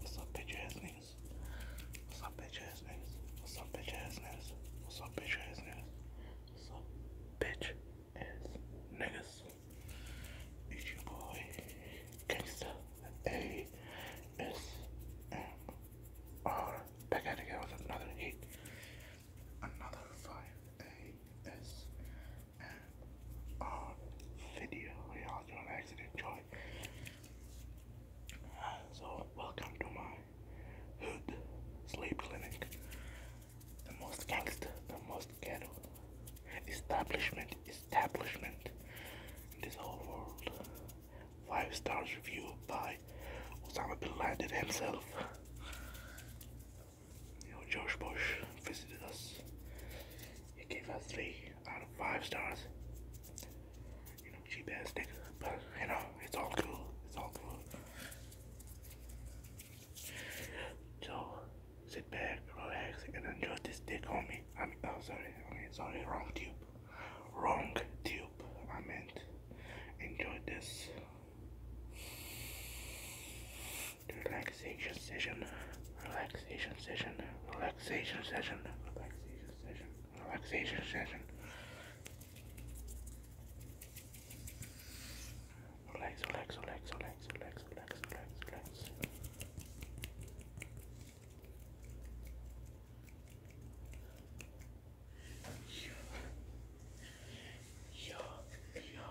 What's up, bitch ass niggas? What's up, bitch ass niggas? What's up, bitch ass niggas? What's up, bitch ass niggas? What's up, bitch ass niggas? It's your boy, Gangsta A S M R. Back at it again with another hit, another five A S um, video where I was doing accident joy. So welcome to my hood sleep clinic. The most gangster, the most ghetto establishment, establishment in this whole world. Five stars review by Osama bin Laden himself you know, Josh Bush visited us. He gave us three out of five stars. You know, cheap ass nigga, but you know, it's all cool. It's all cool. So sit back, relax, and enjoy this dick, me. I mean, oh, sorry, I mean, sorry, wrong tube, wrong tube. I meant enjoy this relaxation session, relaxation session, relaxation session, relaxation session, relaxation session, relax, relax, relax, relax, relax, relax, relax, relax. Yo, yo, yo.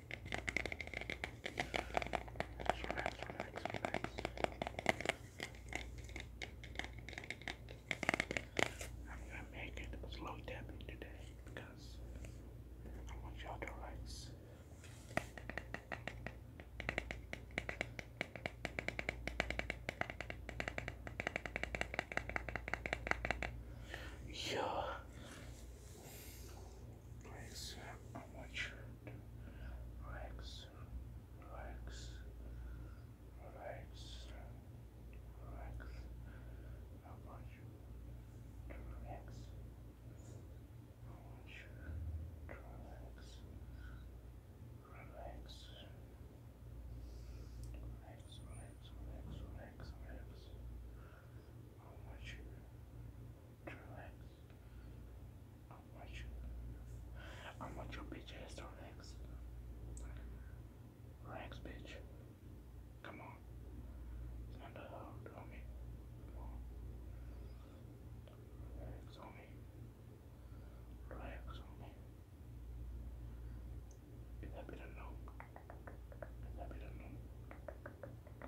Relax, I'm gonna make it slow tapping today because I want y'all to relax. Yeah. Place on my shirt. Relax. Relax. Relax. Relax. I want you to relax. I want you to relax. Relax. Relax, relax, relax, relax, I want you relax. I'll you. I'll your bitch ass to bitch. Come on. It's not the hell, homie. Come on. Relax, homie. Relax, homie. Is that better? No. Is that better? No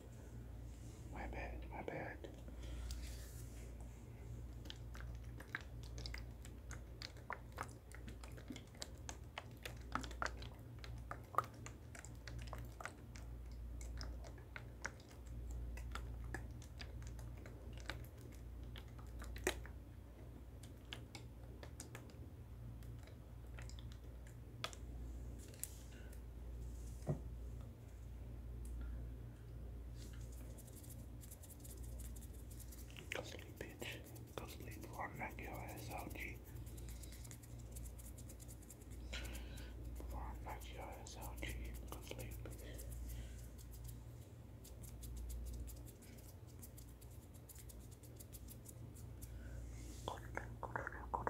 My bad, my bad. Go sleep, bitch. Go sleep before I knock your ass out, G. Before I knock your ass Go sleep. Go sleep, go sleep, go sleep, go sleep, go sleep.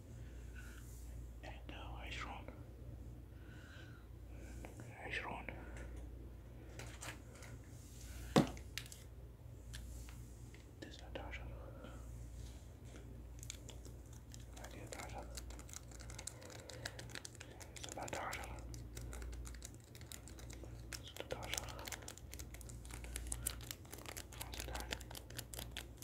and uh, I run. I run. This is Natasha. I did Natasha. It's Natasha. It's Natasha. It's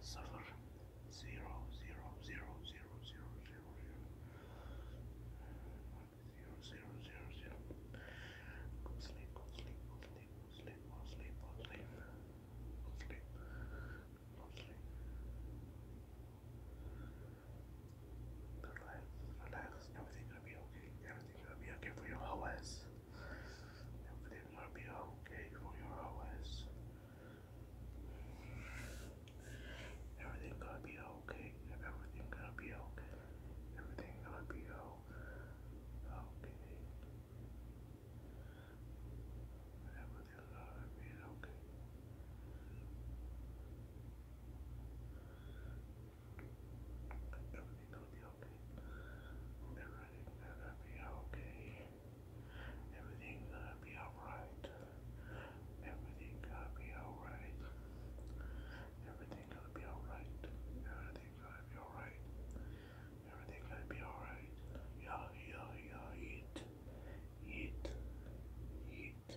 Solar zero zero zero zero zero zero zero zero zero zero zero. Go sleep, go sleep, go sleep, go sleep, go sleep, go sleep, go sleep, go sleep. Relax, relax. Everything's gonna be okay. Everything's gonna be okay for your whole ass. Everything will be okay from your OS. Everything gonna be okay. Everything gonna be okay. Everything gonna be okay. Everything gonna be okay. Everything gonna be okay. Everything gonna be okay. Everything's gonna be alright. Everything's gonna be alright. Everything's gonna be alright. Everything's gonna be alright. Everything's gonna be alright. Yeah, yeah, yeah, eat. Eat. Eat.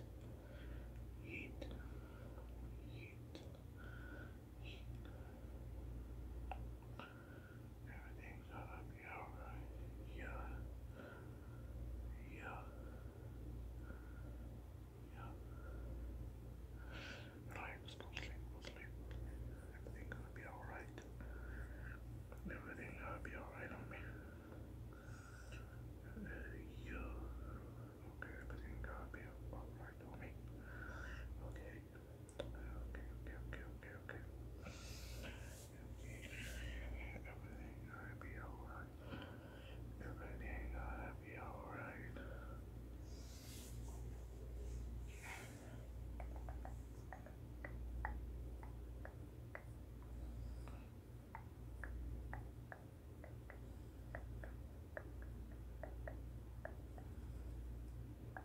Eat. Eat. Eat. Everything's gonna be alright. Yeah. Yeah. Yeah. Relax, go sleep, go sleep. Everything's gonna be alright. Everything's gonna be alright on me. yeah. Okay, everything's gonna be alright on me. Okay. Okay, okay, okay, okay, okay. Everything gonna be alright. Everything gonna be alright.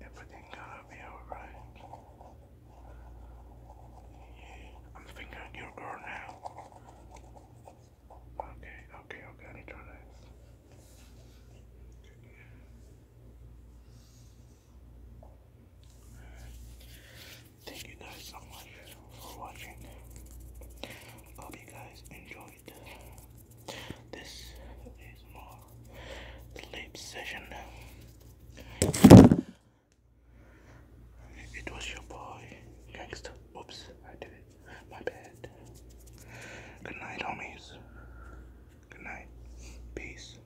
Everything gonna be alright. Yeah, I'm fingering your girl now. Okay, okay, okay, I need to relax. Thank you guys so much for watching. Hope you guys enjoyed this is sleep session. It was your boy, Gangsta. Oops, I did it. My bad. Good night, homies. Good night. Peace.